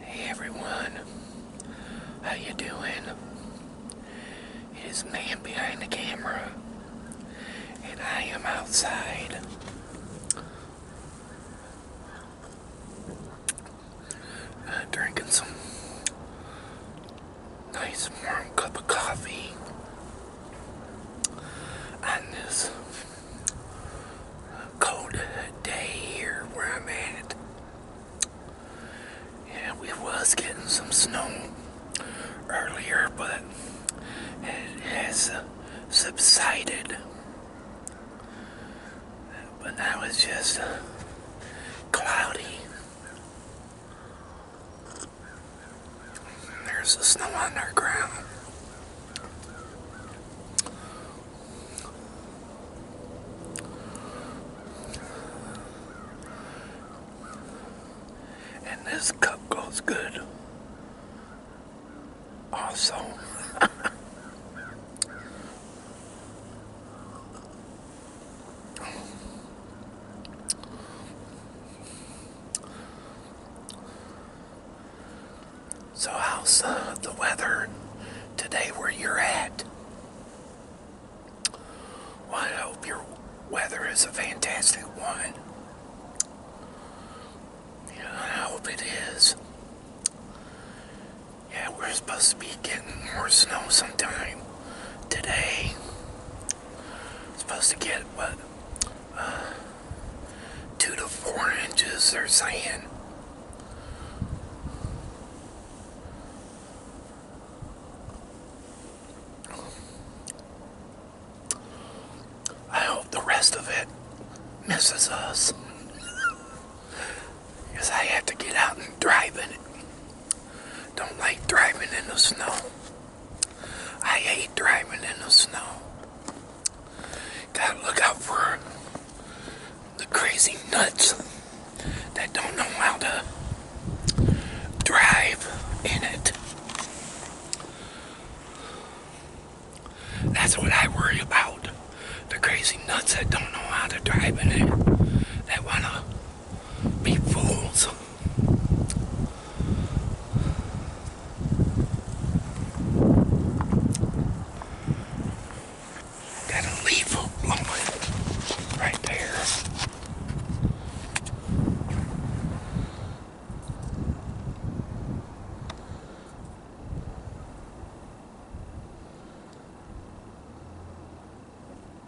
Hey everyone, how you doing? It is man behind the camera, and I am outside. Uh, drinking some nice warm cup of coffee on this cold day here where I'm at. Yeah, we was getting some snow earlier, but it has subsided. But that was just cloudy. There's the snow on their ground. And this cup goes good. Also. So how's uh, the weather today where you're at? Well, I hope your weather is a fantastic one. Yeah, I hope it is. Yeah, we're supposed to be getting more snow sometime today supposed to get what uh, two to four inches they're saying I hope the rest of it misses us because I have to get out and drive it don't like driving in the snow I hate driving in the snow. Gotta look out for the crazy nuts that don't know how to drive in it. That's what I worry about. The crazy nuts that don't know how to drive in it. That wanna be fools. Got a leaf blowing right there.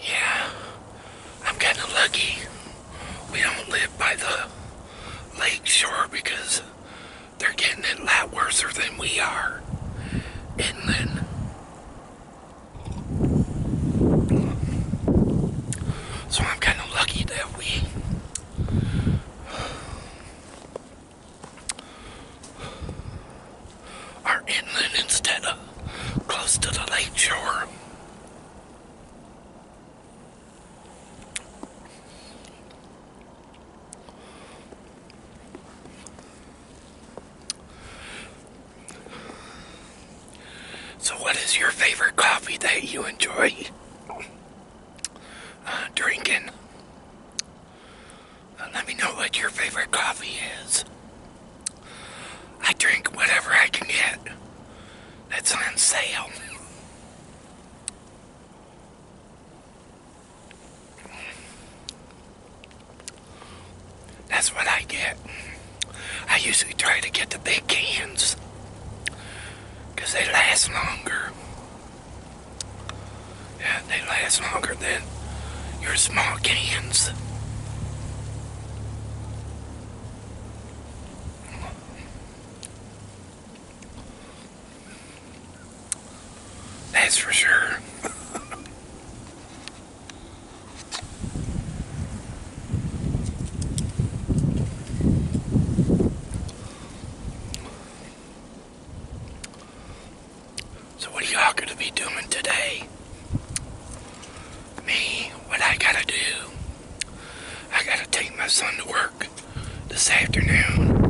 Yeah, I'm kind of lucky. We don't live by the lake shore because they're getting it a lot worse than we are inland. So I'm kind of lucky that we are inland instead of close to the lake shore. So, what is your favorite coffee that you enjoy uh, drinking? Uh, let me know what your favorite coffee is. I drink whatever I can get that's on sale. That's what I get. I usually try to get the big cans because they last longer. Yeah, they last longer than your small cans. That's for sure. so what are y'all going to be doing today? me, what I gotta do, I gotta take my son to work this afternoon.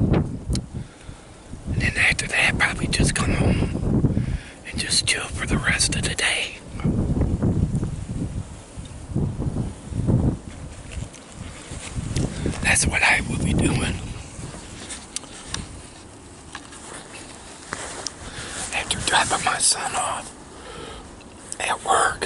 And then after that, probably just come home and just chill for the rest of the day. That's what I will be doing. After dropping my son off at work.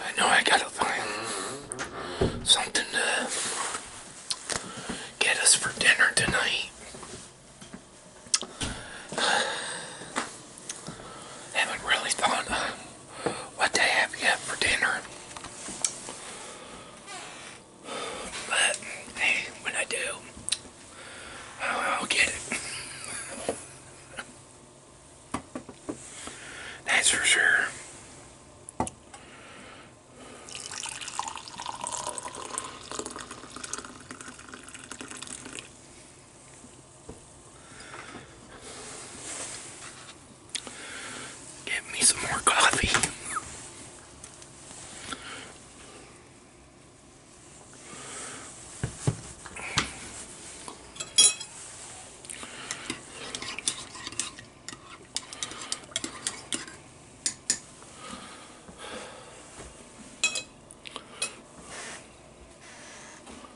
I know I gotta find something to get us for dinner tonight. Haven't really thought what they have yet for dinner. But hey, when I do, I'll, get it. That's for sure. Get me some more coffee.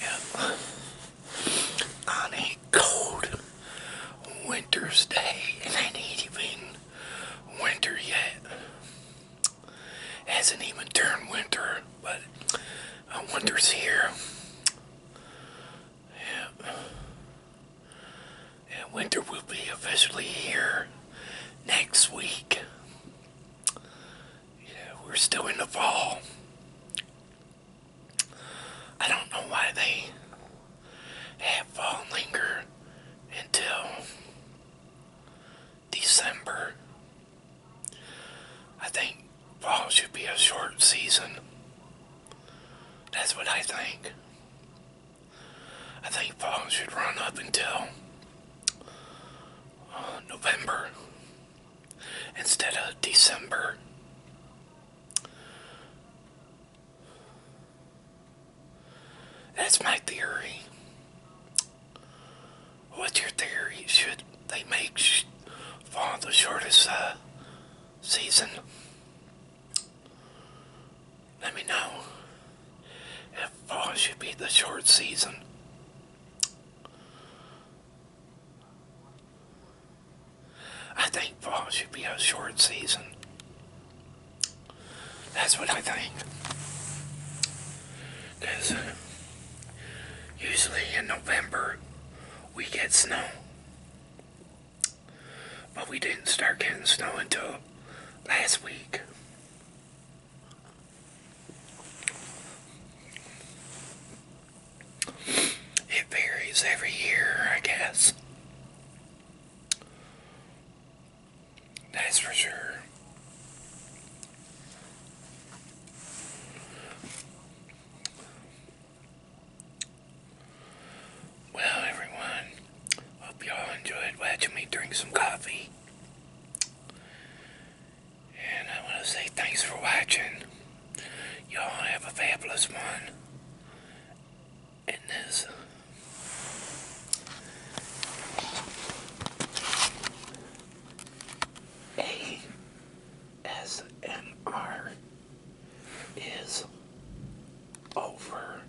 Yeah. On a cold winter's day, and it ain't even winter yet. Hasn't even turned winter, but winter's here. Yeah. And winter will be officially here next week yeah, we're still in the fall. I don't know why they have fall linger until December. I think fall should be a short season. That's what I think. I think fall should run up until November instead of December. That's my theory. What's your theory? Should they make sh fall the shortest uh, season? Let me know fall should be the short season. I think fall should be a short season. That's what I think. Because usually in November we get snow. But we didn't start getting snow until last week. It varies every year, I guess. That's for sure. Well, everyone, hope y'all enjoyed watching me drink some coffee. And I want to say thanks for watching. Y'all have a fabulous one. And this. ASMR is over.